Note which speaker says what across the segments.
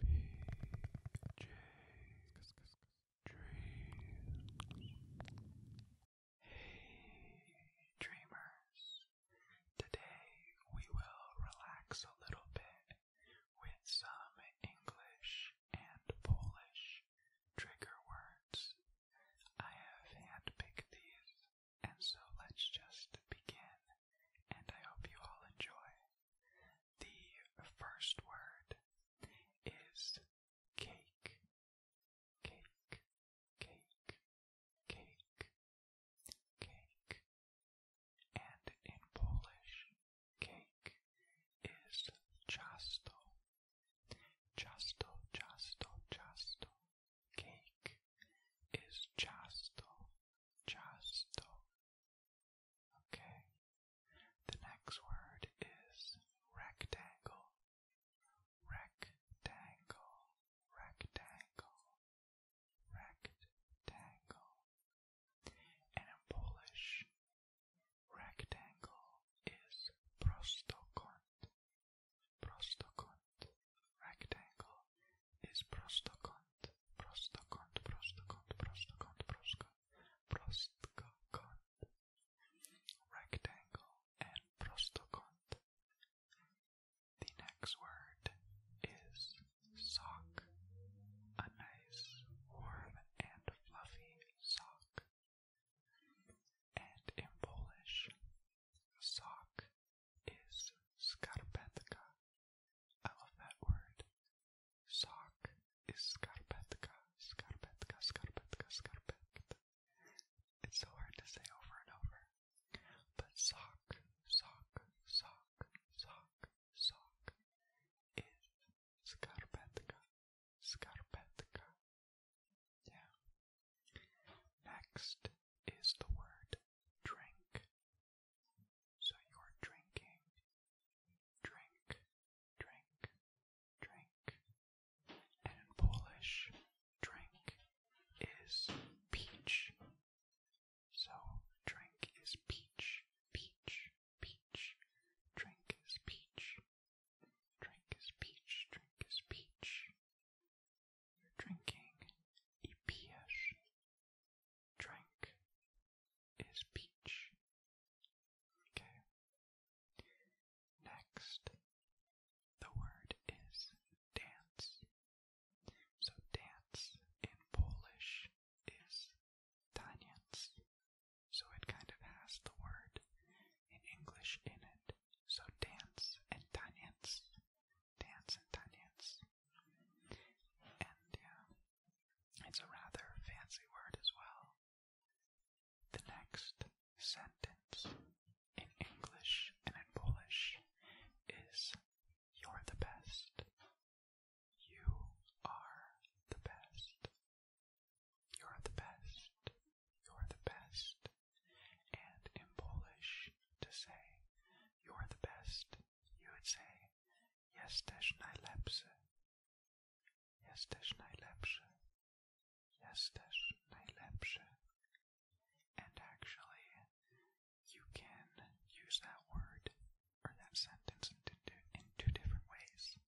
Speaker 1: Hey, dreamers. Today we will relax a little bit with some English and Polish trigger words. I have handpicked these, and so let's just begin and I
Speaker 2: hope you all enjoy. The first word is cake, cake, cake, cake, cake. And in Polish, cake is ciasto.
Speaker 1: Ciasto, ciasto, ciasto. Cake is ciasto. Ciasto. Okay. The next word is rectangle. Rectangle.
Speaker 2: Rectangle. Rectangle. And in Polish, rectangle is prostokąt. Prostokąt. Rectangle is prostokąt prostokąt, prostokąt, prostokąt, prostka, prostokąt, rectangle, and prostokąt. The next word is sock, a nice, warm, and fluffy sock. And
Speaker 1: in Polish, sock is skarpetka. I love that word. Sock is skarpetka, skarpetka, skarpetka, skarpetka. It's so hard to say over and over. But sock, sock,
Speaker 2: sock, sock, sock is skarpetka, skarpetka. Yeah. Next is the word drink. So you're drinking, drink, drink, drink. And in Polish, drink is peach. So drink is peach, peach, peach. Drink is peach. Drink is peach, drink is peach. You're drinking i pijesz, drink is peach. Okay. Next, the word is dance. So dance in Polish is taniec. So it kind of has the word in English in
Speaker 1: it. So dance and taniec. Dance and taniec. And yeah, it's a rather fancy word as well.
Speaker 2: The next sentence in English and in Polish is You're the best. You are the best. You're the best.
Speaker 1: You're the best. And in Polish, to say you're the best, you would say Jesteś najlepszy. Jesteś najlepszy. Jesteś najlepszy. And actually, you can use that word or that sentence in two, in two different ways.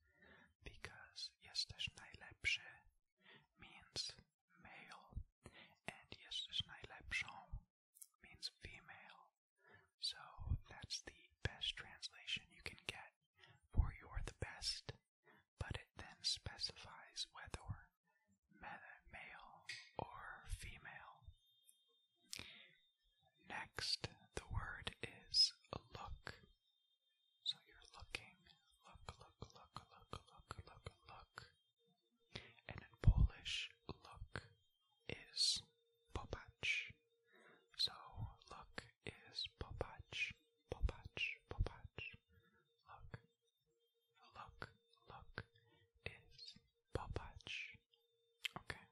Speaker 1: Because
Speaker 2: jesteś najlepszy means male, and jesteś najlepszą means female. So that's the best
Speaker 1: translation you can get for you're the best, but it then specifies whether male or female. Next, the word is look. So you're looking, look, look, look, look, look, look, look. And in Polish, look is Popatch. So look is Popatch, Popatch, Popatch. Look, look, look is Popatch. Okay.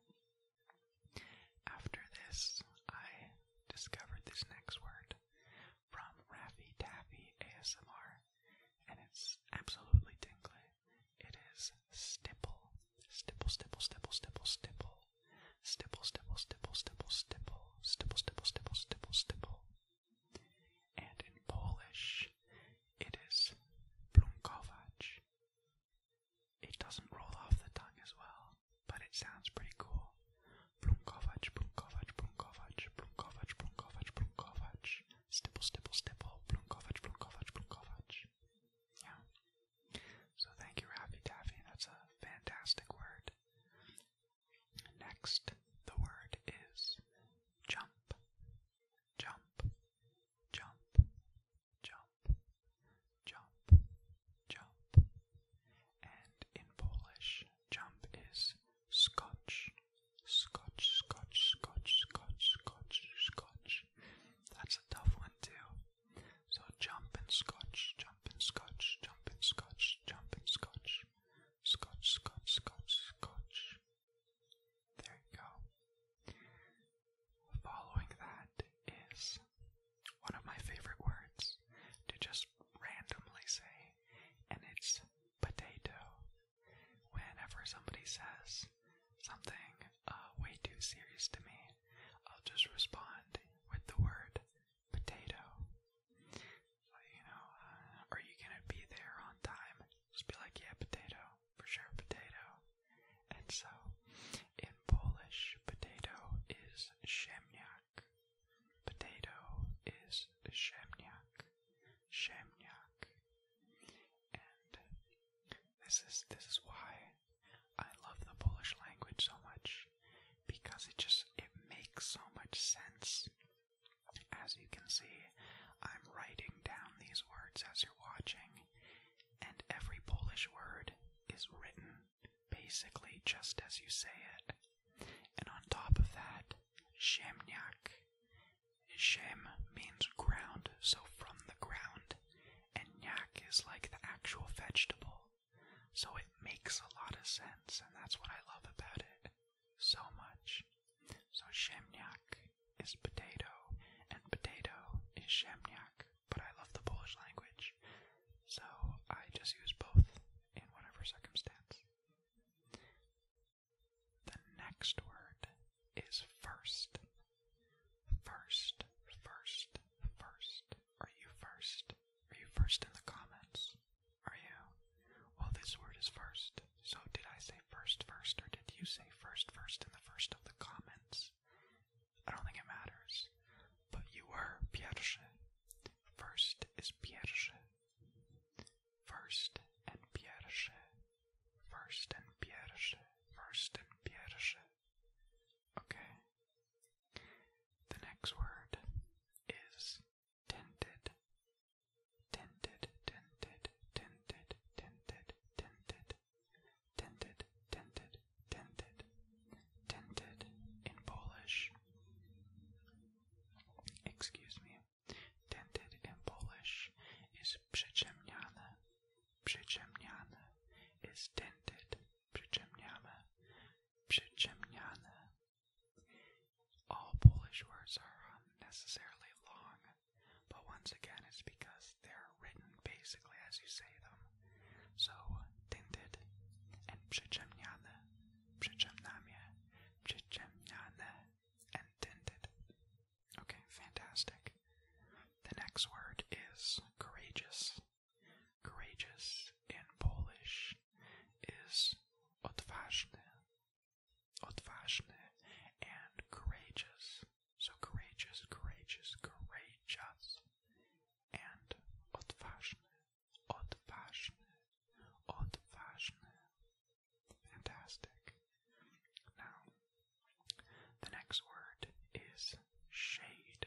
Speaker 1: After this, I discovered this next word from Raffy Taffy ASMR, and it's absolutely tingly. It is stipple. Stipple, stipple, stipple, stipple, stipple. Stipple, stipple, stipple, stipple, stipple. Stipple, stipple, stipple, stipple, stipple. And in Polish, it is plunkowacz. It doesn't roll off the tongue as well, but it sounds pretty cool. Plunkowacz, plunkowacz, plunkowacz, plunkowacz, plunkowacz, plunkowacz. Stipple, stipple, stipple, plunkowacz, plunkowacz, plunkowacz. Yeah. So thank you, Raffy Taffy. That's a fantastic word. Next, the word is jump, jump, jump, jump, jump, jump. And in Polish, jump is scotch, scotch, scotch, scotch, scotch, scotch, scotch. That's a tough one, too. So jump and scotch, jump and scotch, jump and scotch, jump and scotch. Scotch, scotch, scotch, scotch. There you go. Following that is one of my favorite words to just randomly say, and it's potato. Whenever somebody says something uh, way too serious to me, I'll just respond with the word potato. You know, uh, are you gonna be there on time? Just be like, yeah, potato, for sure, potato. And so, in Polish, potato is ziemniak. Potato is ziemniak. Ziemniak. And this is this is why I love the Polish language so much because it just it makes so much sense. As you can see, I'm writing down these words as you're watching, and every Polish word is written basically just as you say it. And on top of that, ziemniak. Ziem means ground, so from the ground and yak is like the actual vegetable. So it makes a lot of sense, and that's what I love about it so much. So ziemniak is potato, and potato is ziemniak, but I love the Polish language, so I just use both in whatever circumstance. The next word is first, First, first, first. Are you first? Are you first in the comments? Are you? Well, this word is first. So, did I say first, first, or did you say first, first in the first of the comments? I don't think it matters. But you were pierwszy. First is pierwszy. First and pierwszy. First and pierwszy. First and pierwszy. Okay. The next word is tinted. Tinted, tinted, tinted, tinted, tinted, tinted, tinted, tinted, tinted in Polish. Excuse me. Tinted in Polish is przyciemniane. Przyciemniane is tinted przyciemniane, przyciemniane. All Polish words are unnecessarily long, but once again it's because they're written basically as you say them. So, tinted and przyciemniane, przyciemniane, przyciemniane, and tinted. Okay, fantastic. The next word is courageous. Courageous in Polish is odważny. Odważny and courageous. So courageous, courageous, courageous. And odważny, odważny, odważny. Fantastic. Now, the next word is shade.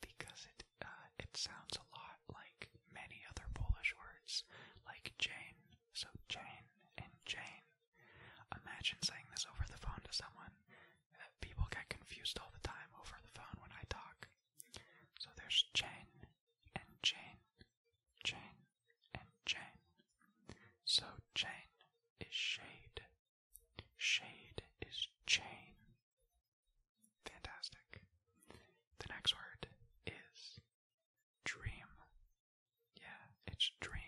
Speaker 1: because it uh, it sounds a lot like many other Polish words, like Jane. So Jane and Jane. Imagine saying this over the phone to someone. Uh, people get confused all the time over the phone when I talk. So there's Jane and Jane, Jane and Jane. So Jane is shade. Shade is Jane. Fantastic. The next word is dream. Yeah, it's dream.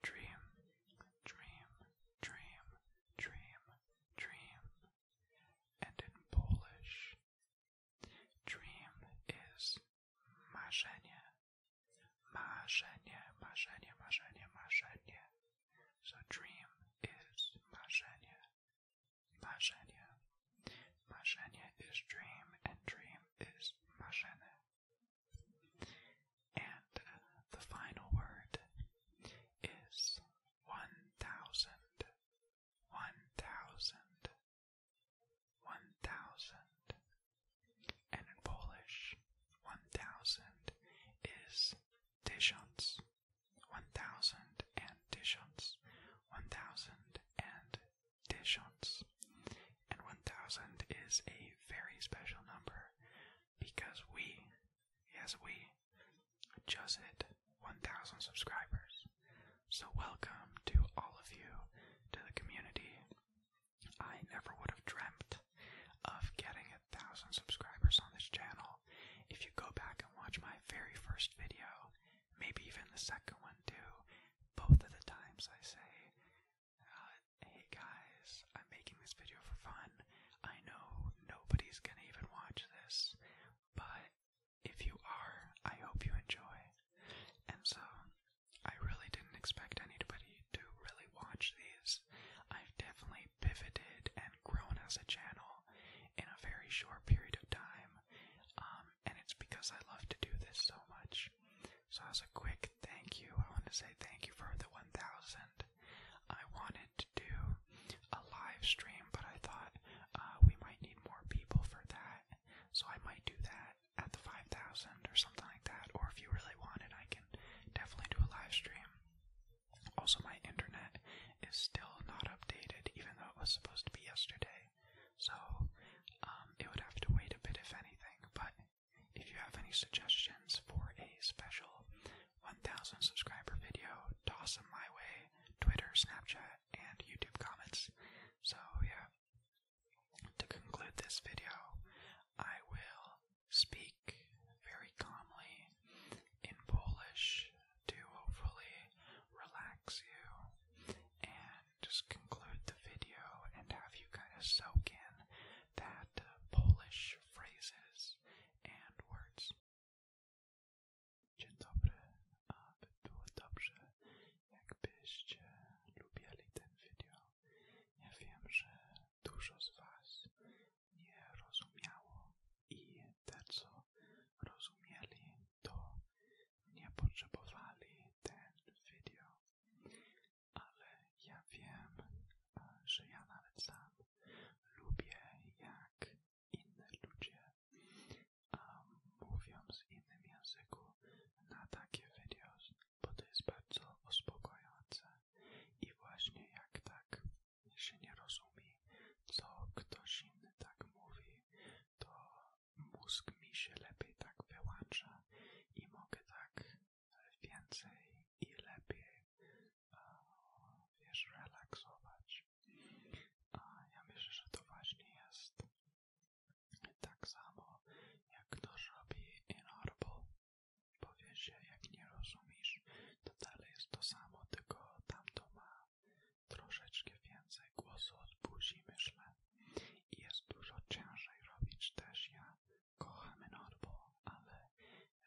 Speaker 1: Dream, dream, dream, dream, dream. And in Polish, dream is marzenie. Marzenie, marzenie, marzenie, marzenie. So dream is marzenie marzenie. Marzenie is dream, and dream is marzenie. And uh, the final word is one thousand, one thousand, one thousand. And in Polish, one thousand is dishons, one thousand and one thousand and dishons. And one thousand is a very special number because we, yes, we just hit one thousand subscribers. So, welcome to all of you to the community. I never would have dreamt of getting a thousand subscribers on this channel if you go back and watch my very first video, maybe even the second one too, both of the times I say, uh, hey guys, I'm making this video for fun. I know nobody's gonna even watch this, but if you are, I hope you enjoy. And so, I really didn't expect anybody to really watch these. I've definitely pivoted and grown as a channel in a very short period of time. Um, and it's because I love to do this so much. So, as a quick thank you, I want to say thank you for the 1000. I wanted to do a live stream, but I thought uh, we might need more people for that. So, I might do that at the 5000 or something like that. Or if you really want it, I can definitely do a live stream. Also, my internet is still not updated, even though it was supposed to be yesterday. So, um, it would have to wait a bit, if anything. But if you have any suggestions for a special 1,000 subscriber video, toss them my way. Twitter, Snapchat, and YouTube comments. So, yeah. To conclude this video, I will speak very calmly in Polish to hopefully
Speaker 2: relax you and just conclude the video and have you
Speaker 1: kind of soak in that uh, Polish phrases and
Speaker 2: words. Dzień dobry, a by było dobrze, jakbyście lubiali ten video. Ja wiem, że
Speaker 1: dużo z Was nie rozumiało i te, co rozumieli, to nie potrzebowali ten video. Ale ja wiem, e, że ja nawet sam lubię, jak inne ludzie um, mówią z innym języku na takie videos, bo to jest bardzo uspokajające i właśnie jak tak jeśli nie rozumie, co ktoś inny tak mówi, to mózg mi się lepiej tak wyłącza i mogę tak więcej i lepiej, wiesz, relaksować. A ja myślę, że to właśnie jest tak samo, jak ktoś robi inorbo. Powie się, jak nie rozumiesz, to dalej jest to samo, tylko tamto ma troszeczkę więcej głosu od buzi, myślę. I jest dużo cięższe robić też ja. Kocham norbo, ale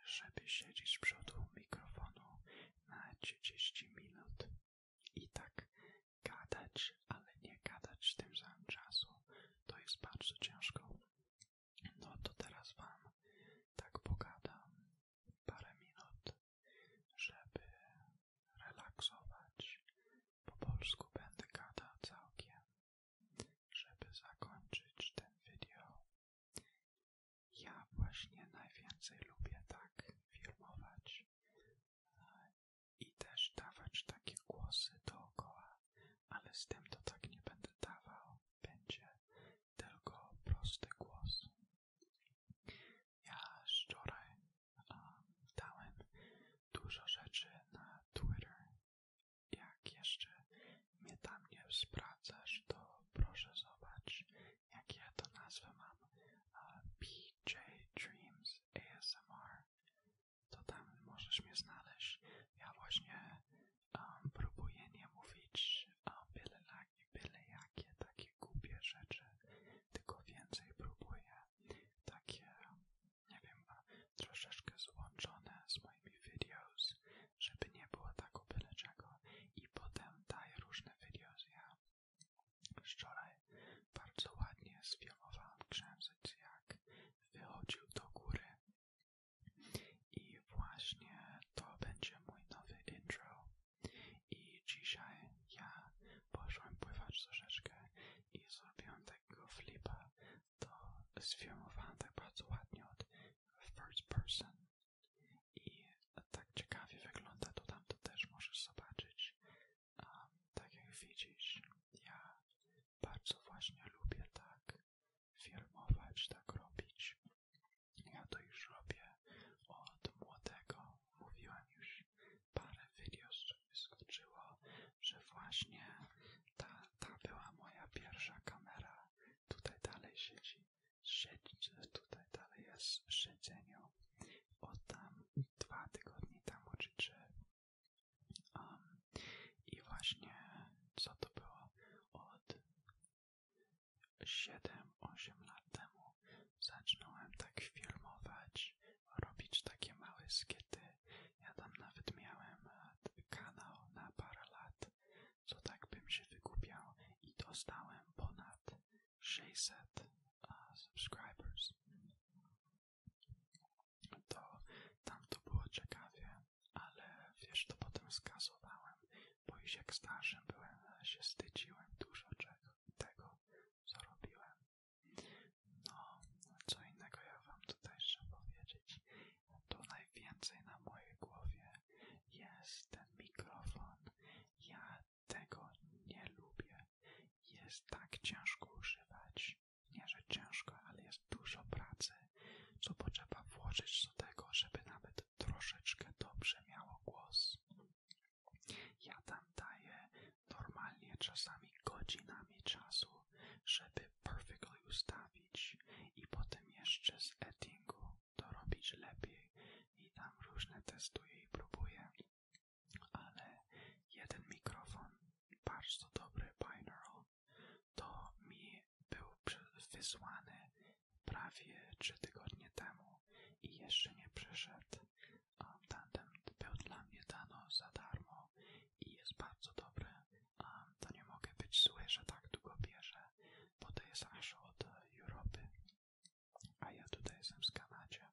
Speaker 1: żeby siedzieć z przodu mikrofonu na 30 minut i tak gadać, ale nie gadać w tym samym czasu, to jest bardzo ciężko. No to teraz wam tak pogadam parę minut żeby relaksować. Po polsku będę gadał całkiem, żeby zakończyć ten video. Ja właśnie najwięcej lubię tak filmować i też dawać takie głosy dookoła, ale z tym to tak nie będę dawał. Będzie tylko prosty głos. Ja wczoraj um, dużo rzeczy na Twitter. Jak jeszcze mnie tam nie sprawdzasz, to proszę zobacz, jak to nazwę mam. PJ Dreams ASMR. To tam możesz mnie znaleźć. Ja właśnie próbuję nie mówić używa byle, byle jakie takie głupie rzeczy, tylko więcej próbuję takie, nie wiem, troszeczkę złączone z moimi videos, żeby nie było tak byle i potem daję różne videos. Ja wczoraj bardzo ładnie sfilmowałam księżyc, jak wychodził do góry i właśnie to będzie mój nowy intro i dzisiaj ja poszłam pływać troszeczkę i zrobiłam takiego flipa. To sfilmowałam tak bardzo ładnie od first person. I tak ciekawie wygląda to tam, to też możesz zobaczyć. Um, tak jak widzisz, ja bardzo właśnie lubię tak filmować, tak robić. Ja to już robię od młodego. mówiłam już parę video, wyskoczyło, że właśnie ta, ta była moja pierwsza kamera. Tutaj dalej siedzi, siedzi tutaj dalej jest w siedzeniu. Od tam dwa tygodnie temu czy I właśnie co to było? Od Siedem, osiem lat temu zacząłem tak filmować, robić takie małe skiety. Ja tam nawet miałem e, kanał na parę lat, co tak bym się wykupiał i dostałem ponad 600 uh, e, subscribers. To tam to było ciekawie, ale wiesz, to potem skasowałem, bo już jak starszym byłem, się wstydziłem dużo czego, tego, co robiłem. No, no co innego ja wam tutaj chcę powiedzieć. Tu najwięcej na mojej głowie jest ten mikrofon. Ja tego nie lubię. Jest tak ciężko używać. Nie, że ciężko, ale jest dużo pracy, co potrzeba włożyć do tego, żeby nawet troszeczkę dobrze miało głos. Ja tam daję normalnie czasami godzinami czasu, żeby perfectly ustawić i potem jeszcze z editingu robić lepiej i tam różne testuję i próbuję. Ale jeden mikrofon, bardzo dobry binaural, to mi był wysłany prawie trzy tygodnie temu i jeszcze nie przyszedł. A tandem był dla mnie dano za darmo i jest bardzo dobry. A to nie mogę być zły, że tak długo bierze, bo to jest aż od Europy. A ja tutaj jestem z Kanadzie.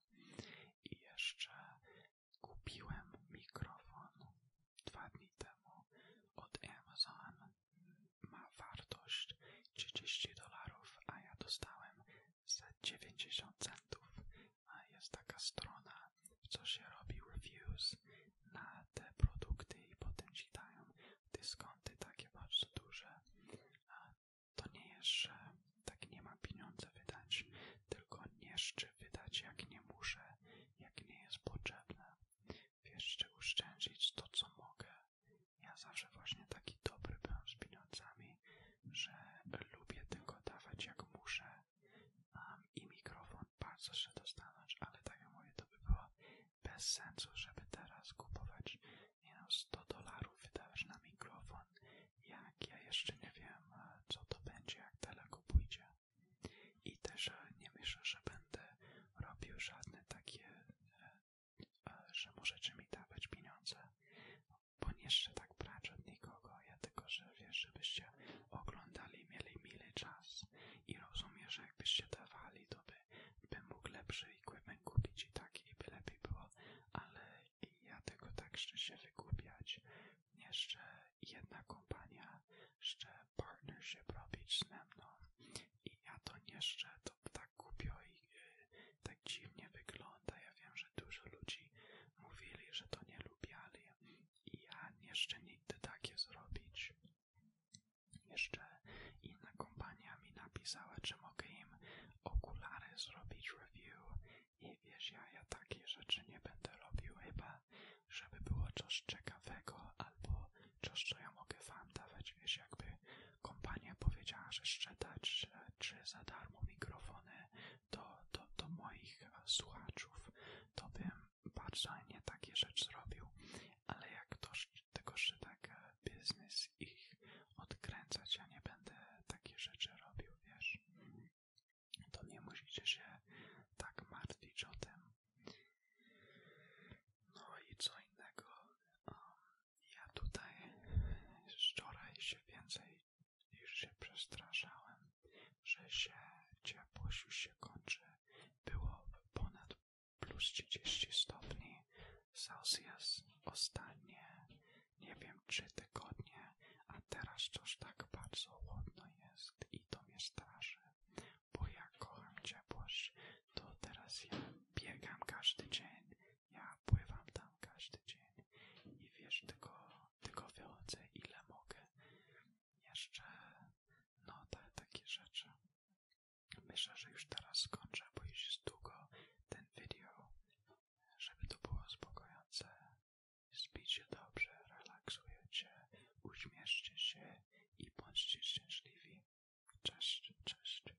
Speaker 1: I jeszcze kupiłem mikrofon dwa dni temu od Amazon ma wartość 30 dolarów, a ja dostałem za 90 centów. jest taka strona, co się robi reviews na te produkty i potem ci dają dyskonty takie bardzo duże. A to nie jest, że tak nie ma pieniędzy wydać, tylko nie szczy wydać jak nie muszę, jak nie jest potrzebne. Wiesz, czy uszczędzić to, co mogę, ja zawsze właśnie taki dobry byłem z pieniądzami, że lubię tylko dawać jak muszę Mam i mikrofon bardzo się dostanąć, ale tak jak mówię, to by było bez sensu, żeby teraz kupować nie no, 100 dolarów wydawać na mikrofon, jak ja jeszcze nie wiem e, co to będzie, jak daleko pójdzie. I też e, nie myślę, że będę robił żadne takie e, że możecie mi dawać pieniądze, bo nie tak brać od nikogo, ja tylko, że wiesz, żebyście oglądali, mieli mile czas i rozumiem, że jakbyście dawali, to bym mógł lepszy equipment kupić i tak, i by lepiej było, ale ja tylko tak chcę się wykupiać. Jeszcze jedna kompania, jeszcze partnership robić ze mną i ja to nie chcę, to tak tak głupio i e, tak dziwnie wygląda. Ja wiem, że dużo ludzi mówili, że to nie lubiali i ja jeszcze nigdy takie zrobić. Jeszcze inna kompania mi napisała, czy mogę im okulary zrobić review i wiesz, ja, ja takie rzeczy nie będę robił chyba, żeby było coś ciekawego albo coś, co ja mogę wam dawać, wiesz, jakby Kompania powiedziała, że sprzeda czy, za darmo mikrofony do, do, do moich e, słuchaczów, to bym bardzo nie takie rzeczy zrobił, ale jak to, tego tak biznes ich odkręcać, ja nie będę takie rzeczy robił, wiesz, to nie musicie się tak martwić o tym. No i co innego, ja tutaj wczoraj się więcej niż się przestraszałem, że się ciepłość już się kończy. Było ponad plus 30 stopni Celsius ostatnie, nie wiem, trzy tygodnie, a teraz coś tak bardzo chłodno jest i to mnie straszy, bo jak kocham ciepłość, to teraz ja biegam każdy dzień ja pływam tam każdy dzień i wiesz, tylko, tylko wychodzę ile mogę. Jeszcze no te, takie rzeczy. Myślę, że już teraz skończę, bo już jest długo ten video, żeby to było spokojnie, Spijcie dobrze, relaksujecie,
Speaker 2: uśmieszcie się i bądźcie szczęśliwi. Cześć, cześć.